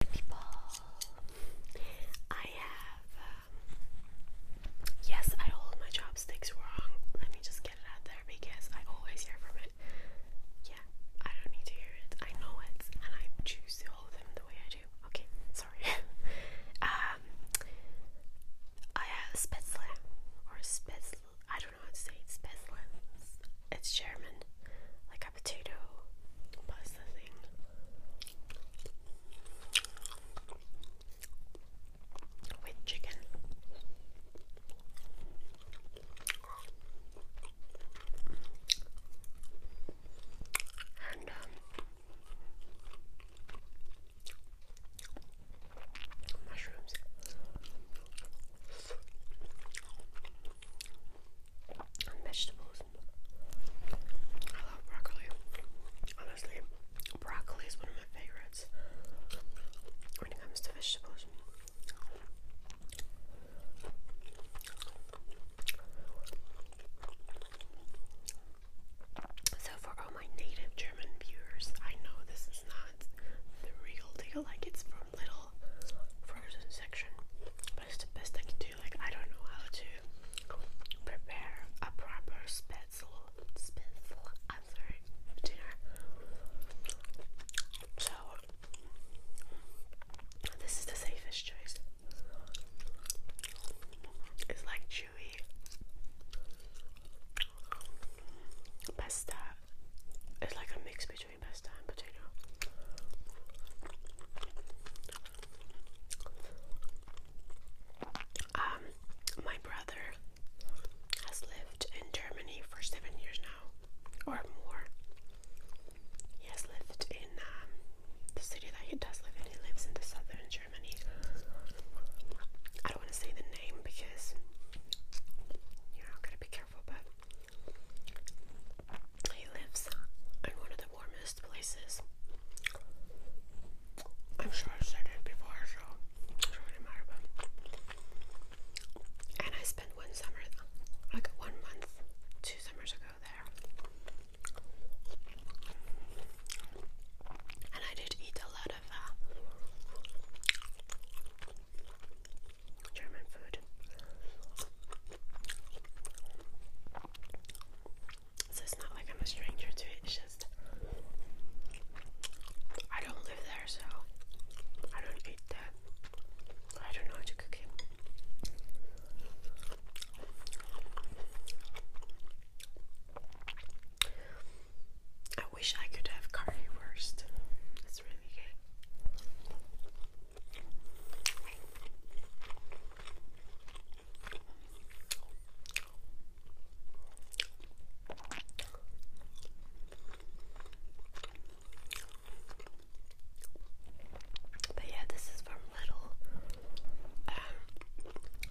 people. I have. Um, yes, I hold my chopsticks wrong. Let me just get it out there because I always hear from it. Yeah, I don't need to hear it. I know it, and I choose to hold them the way I do. Okay, sorry. um, I have Spätzle or Spätzle. I don't know how to say it. Spätzle. It's German like a potato. What is the thing? With chicken. And um, mushrooms vegetables. I love broccoli. Honestly, broccoli is one of my favorites when it comes to vegetables. So, for all my native German viewers, I know this is not the real deal, like it's from Little Frozen section but best I can do. Like I don't know how to prepare a proper special, special answer dinner. So this is the safest choice. It's like chewy pasta. It's like a mix between. Um, my brother has lived in Germany for seven years now, or more. He has lived in um, the city that he does live in. He lives in the southern Germany. I don't want to say the name because you know, I've to be careful, but he lives in one of the warmest places. I'm sure I've said it before, so it doesn't matter. But and I spent one summer, like one month, two summers ago there, and I did eat a lot of uh, German food. So it's not like I'm a stranger to it, it's just I don't live there, so I don't eat that. I don't know how to cook it. I wish I could have currywurst. It's really good. But yeah, this is from Little. Um,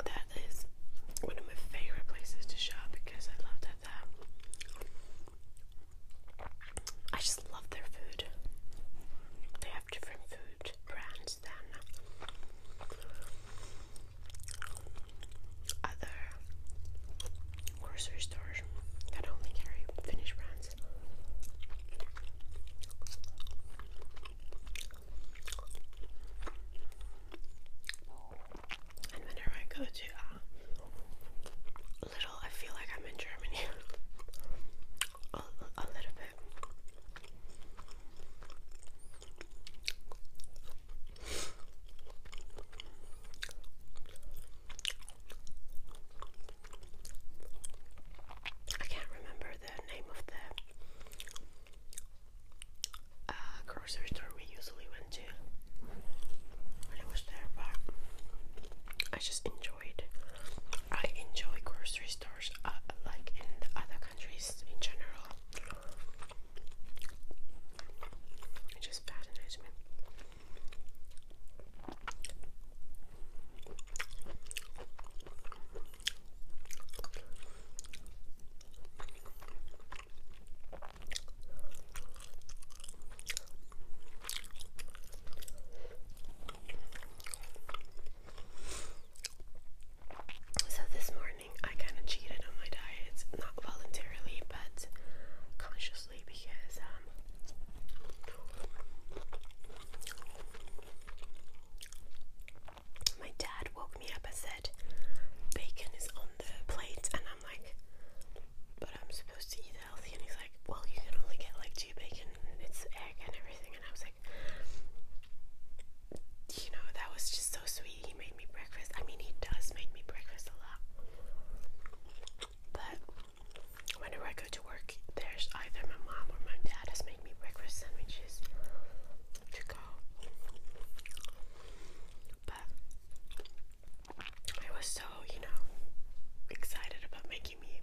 that is one of my favorite places to shop because I love that that I just love their food. They have different food brands than other grocery stores that only carry Finnish brands. whenever I go to uh, little, I feel like I'm in Germany. a, little bit. I can't remember the name of the uh, grocery store we usually went too when it was there, but I just enjoyed. I enjoy grocery stores, uh, like in other countries in general. It just fascinates me. So this morning I kind of cheated on my diet, not voluntarily but consciously because um my dad woke me up and said bacon is on the plate I'm like, but I'm supposed to eat healthy. And he's like, well, you can only get like two bacon, and it's egg and everything. And I was like, you know, that was just so sweet. He made me breakfast. I mean, he does make me breakfast a lot. But whenever I go to work, there's either my mom or my dad has made me breakfast sandwiches to go. But I was so, you know, excited about making me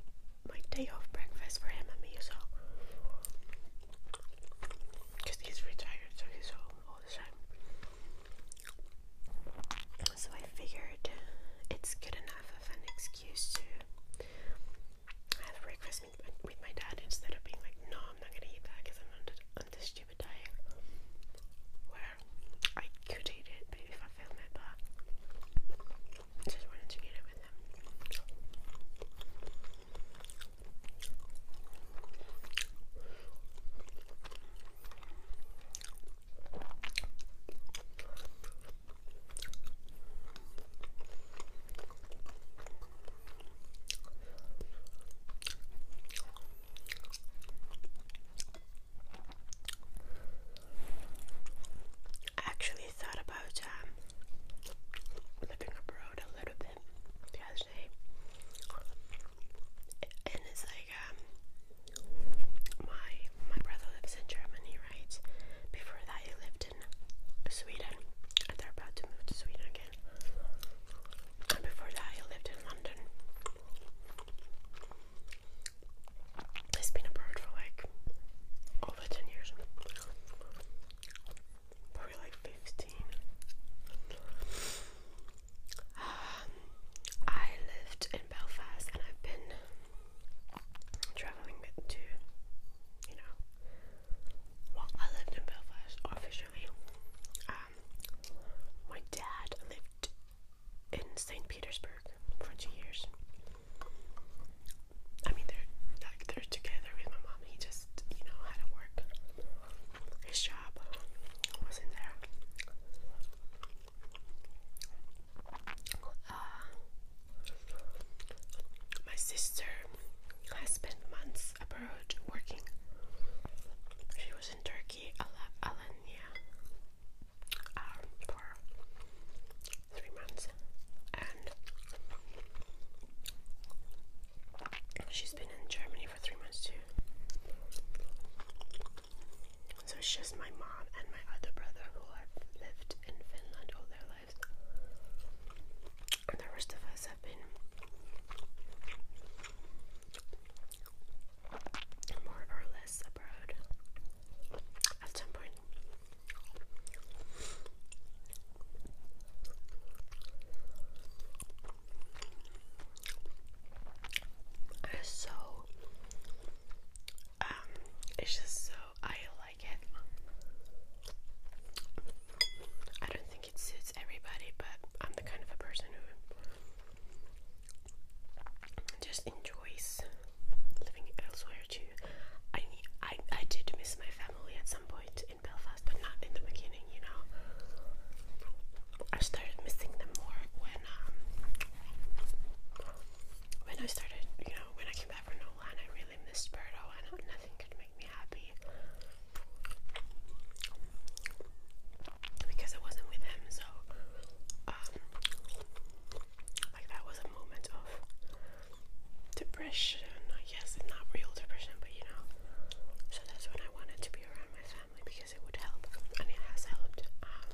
my day off breakfast for him and me, so because he's retired, so he's home all the time. So I figured it's good enough of an excuse to have breakfast with my dad instead of being like, no, I'm not gonna eat that because I'm not on a day where I could eat it if I film it, but I just wanted to eat it with him. I actually thought about um, living abroad a little bit the and it's like um, my my brother lives in Germany, right? Before that, he lived in Sweden, they're about to move to Sweden again. And before that, he lived in London. He's been abroad for like over 10 years. Probably like 15. Um, I lived in Belfast and I've been travelling to, you know, well, I lived in Belfast officially my dad lived in St. Petersburg for two years. I mean, they're like they're together with my mom. He just, you know, had to work. His job wasn't there. Uh, my sister has spent months abroad working she was in Turkey, Alanya, um, for three months, and she's been in Germany for three months too. So it's just my mom and my other brother who have lived in Finland all their lives the rest of us have been more or less abroad at some point. Uh, so, um, it's just so I like it. I don't think it's everybody, but I'm the kind of a person who just enjoys living elsewhere too. I I I did miss my family at some point in Belfast, but not in the beginning, you know. I started missing them more when um, when I started, you know, when I came back from Nolan, I really missed Birdo and nothing could make me happy because I wasn't with him, so um, like that was a moment of depression. I guess not real depression, but you know. So that's when I wanted to be around my family because it would help, and it has helped. Um,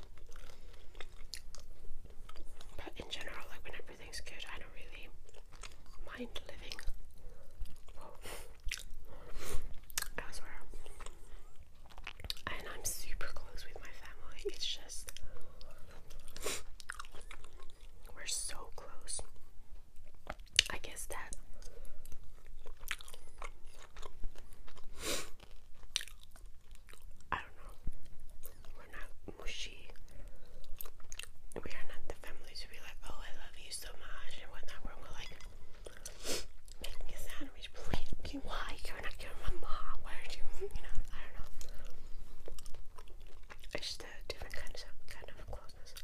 but in general, like when everything's good, I don't really mind living. I And I'm super close with my family. It's just we're so close. I guess that I don't know. We're not mushy we are not the family to be like, oh, I love you so much and whatnot. We're more like, make me a sandwich, please. Why you're not your mom? Why are you? You know, I don't know. It's a different kind of kind of closeness.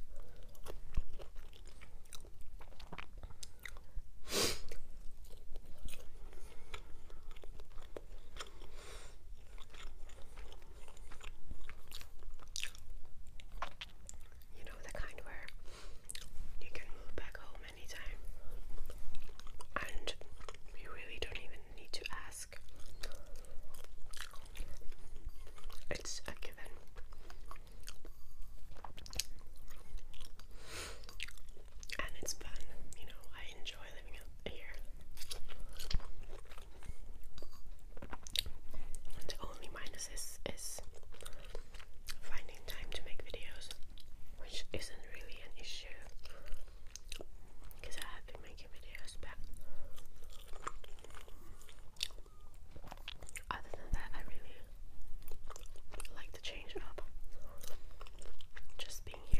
You know, the kind where you can move back home anytime and you really don't even need to ask. It's a given. And it's fun, you know, I enjoy living here. The only minus is, is finding time to make videos, which isn't really an issue because I have been making videos, but other than that, I really like to change up just being here.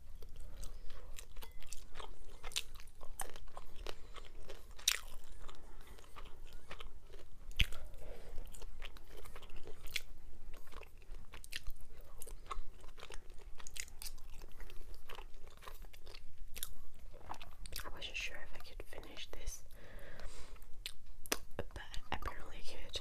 I wasn't sure if I could finish this, but apparently I could.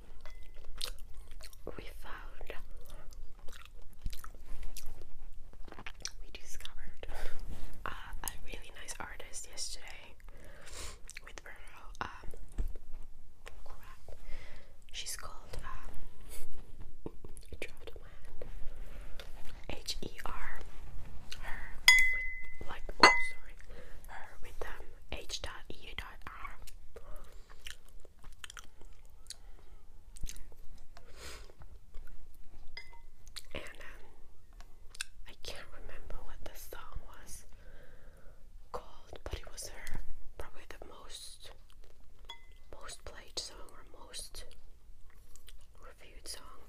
we found we discovered uh, a really nice artist yesterday with Virgo. Um, crap. She's called um, H E R. Her with like oh sorry. Her with um H dot E dot R. And um, I can't remember what the song was called, but it was her probably the most most played song or most reviewed song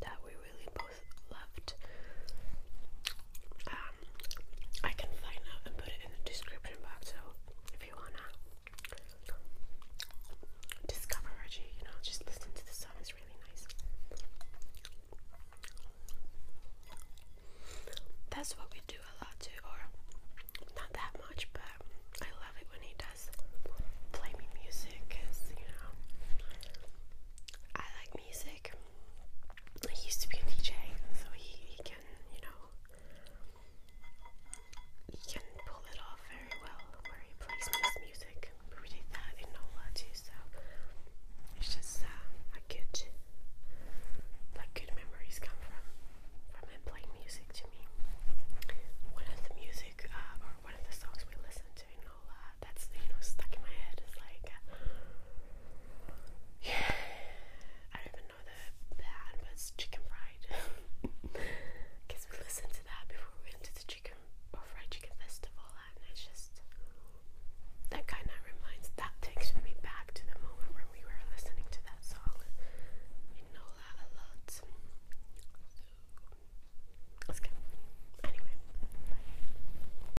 that we really both loved. Um, I can find out and put it in the description box. So if you wanna discover Reggie, you know, just listen to the song. It's really nice. That's what we do a lot too, or not that much, but I love it when he does play me music because you know I like music he used to be a DJ, so he, he can, you know, he can pull it off very well where he plays music. We did that in Nola too, so it's just uh, a good, like good memories come from from him playing music to me. One of the music uh, or one of the songs we listened to in Nola that's you know stuck in my head is like. Uh, yeah, I don't even know the band, but chicken fried. Because we listened to that before we went to the chicken fried chicken festival, and it's just that kind of reminds that takes me back to the moment when we were listening to that song. We know that a lot. let's go. Anyway,